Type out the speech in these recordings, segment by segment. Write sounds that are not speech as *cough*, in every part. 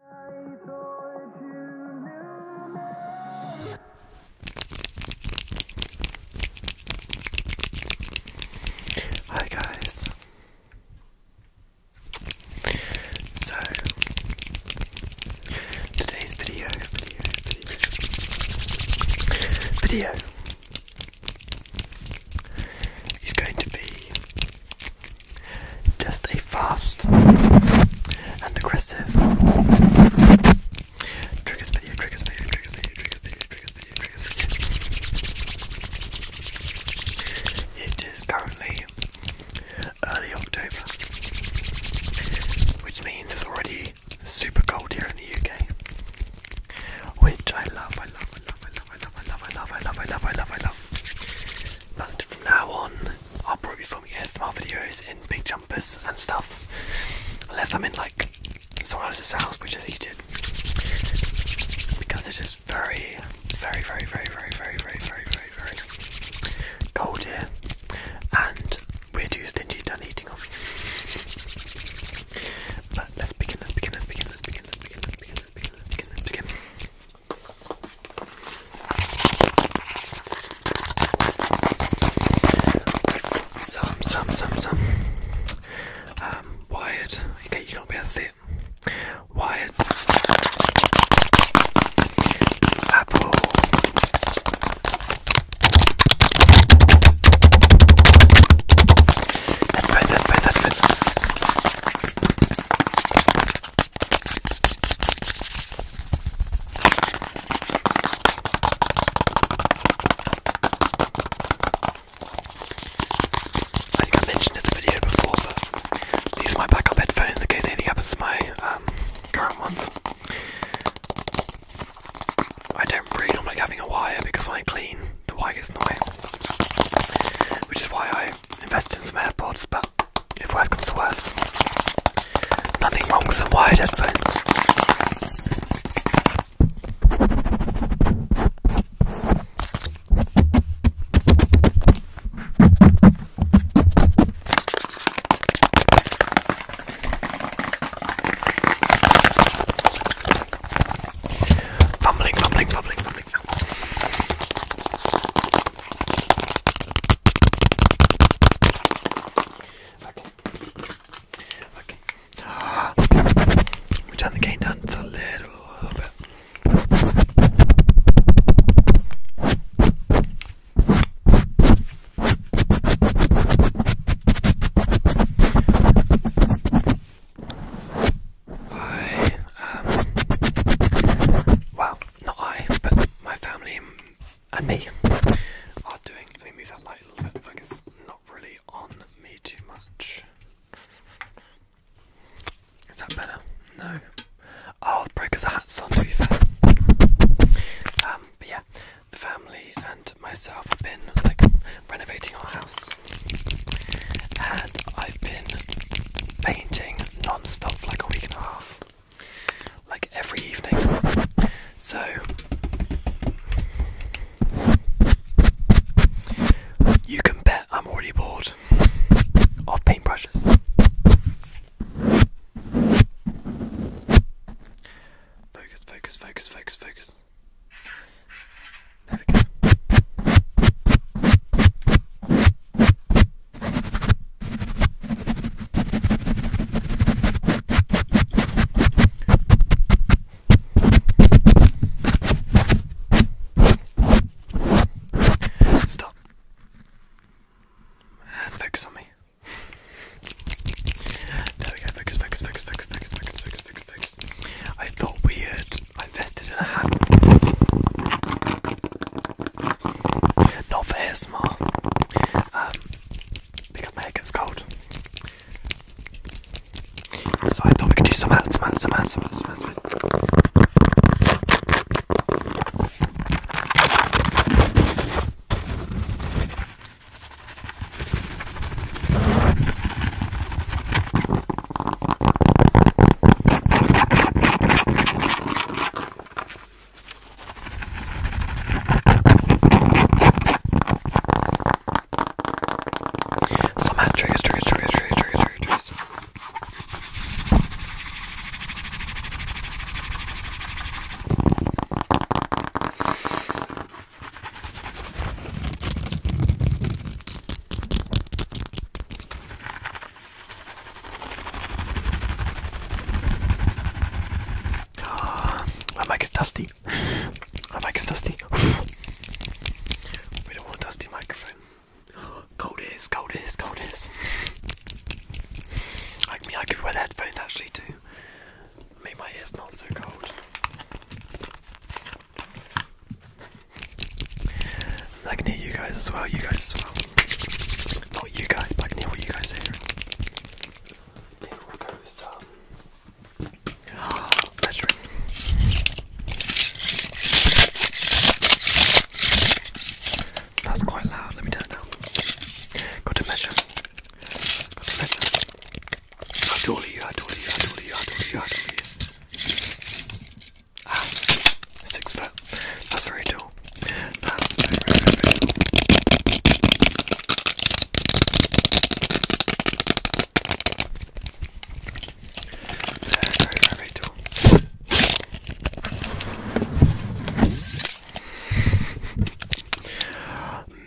Hi guys. So today's video, video, is going to be just a fast and aggressive triggers video, triggers video, triggers video, triggers video, triggers video, triggers video. It is currently early October, which means it's already super cold here in the UK, which I love, I love, I love, I love. I love, I love, I love, I love, I love, I love, I love. But from now on, I'll probably be filming ASMR videos in big jumpers and stuff. Unless I'm in like someone else's house, which is heated. Because it is very, very, very, very, very, very, very, very, very, very cold here. And we're too stingy done eating off. But let's begin, let's begin, let's begin, let's begin, let's begin, let's begin, let's begin, let's begin, let's begin. Some, some, some, some. Um, wired. Okay, you don't be able to see it. Wired. Apple. Headphones, headphones, headphones. I think I mentioned this video before, but these are my backup headphones in case anything happens to my um, current ones. I don't really like having a wire because when I clean, the wire gets in the way, which is why I invest in some airports, but if worse comes to worst, nothing wrong with some wired headphones. Fumbling, fumbling, fumbling big deal. Okay. Okay. We turn the gain down just a little, little bit. Okay. Um, well, not I, but my family and me are doing. Let me move that light a little bit. Like it's not really on me too much. Is that better? No. Oh, the broker's hat's on. To be fair. Um, but yeah, the family and myself have been like renovating our house and I've been painting non-stop like a week and a half, like every evening. So you can bet I'm already bored of paintbrushes. Focus, focus, focus, focus, focus. There we go. Stop. And focus on me. There we go. Focus, focus, focus, focus, focus, focus, focus, focus. I thought we had invested in a hat. Not for ASMR. Um, because my head gets cold. So I thought we could do some hats, some hats, some hats, some hats. Some hats. Somehow triggers, triggers, triggers, triggers, triggers, triggers, triggers. My mic is dusty. My mic is dusty. we don't want dusty microphone. Cold is, cold is, cold is. me, I could wear the headphones actually too. Make my ears not so cold. I can hear you guys as well, you guys as well. Not you guys, but I can hear what you guys hear. Yeah, we go some um, oh, *gasps* That's quite loud, let me turn it down. Got to measure. Got to measure. I totally, I totally, I totally, I totally, I totally. Ah, six foot. That's very tall. That's ah, very, very, very tall. Very, very, very tall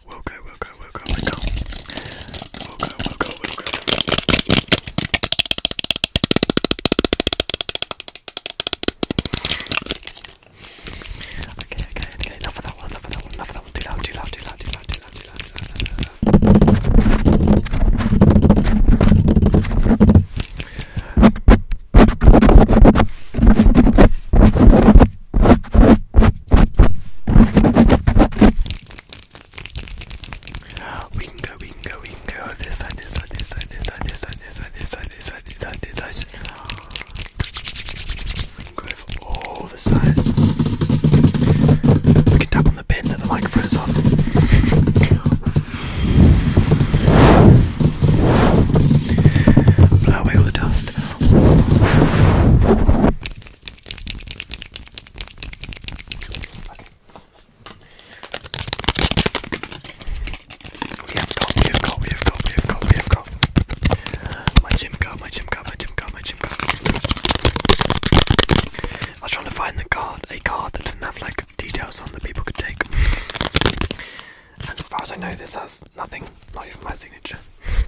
We'll go, we'll go, we'll go, we'll go. We'll go, we'll go, we'll go. Okay, okay, okay, enough of that one, enough of that one, enough of that one. Too loud, too loud, too loud, too loud, too loud, too loud, too loud, too loud. We can go, we can go, we can go. This side, this side, this side, this side, this side, this side, this side, this side, this side, this side. We can go for all the sides. We can tap on the pin that the microphone is on. Blow away all the dust. Okay. We have got, we have got, we have got, My gym card, my gym card, my gym card, my gym card. I was trying to find the card, a card that didn't have like details on that people could take. And as far as I know, this has nothing, not even my signature.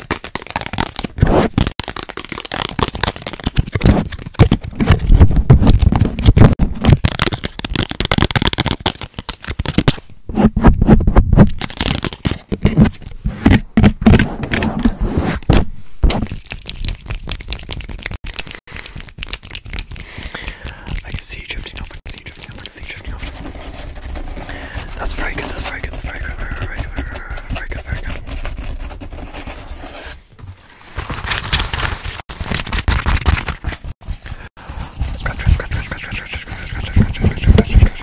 I can see you drifting off, I can see you drifting off, I can see checking off. That's very good, that's very good, that's very good, very good, very good, very good. Scratch, scratch, scratch, scratch, scratch, scratch, scratch, scratch, scratch, scratch, scratch, scratch, scratch.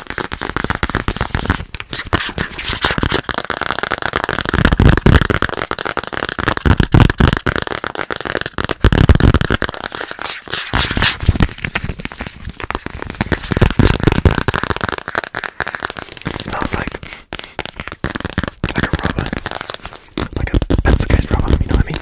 It smells like like a rubber, like a pencil case rubber. You know what I mean?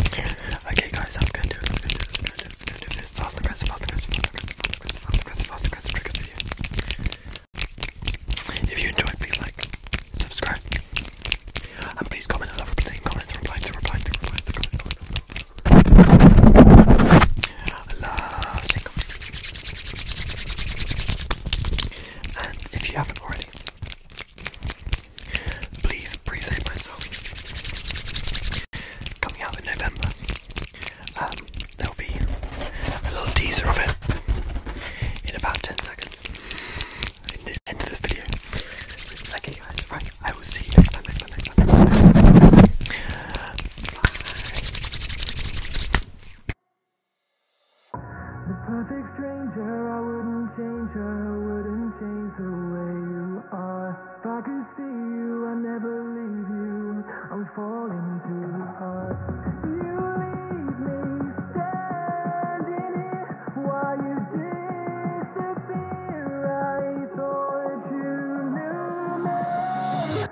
Okay, guys, I'm gonna do it. I'm gonna do this. I'm gonna do this. I'm gonna do this. Fast aggressive, fast aggressive, fast aggressive, fast aggressive, fast aggressive, fast aggressive triggers video. If you enjoyed, please like, subscribe, and please comment. I love replying comments, replying to replying to replying to comments. I love seeing comments. And if you haven't already, please pre-save my song coming out in November. Um, there'll be a little teaser of it in about 10 seconds end of this video. Okay guys, right, I will see you next time. Bye. The perfect stranger, I wouldn't change her, wouldn't change the way you are. If I could see you, I'd never leave you. I'm falling too hard. You leave me standing here while you disappear. I thought you knew me.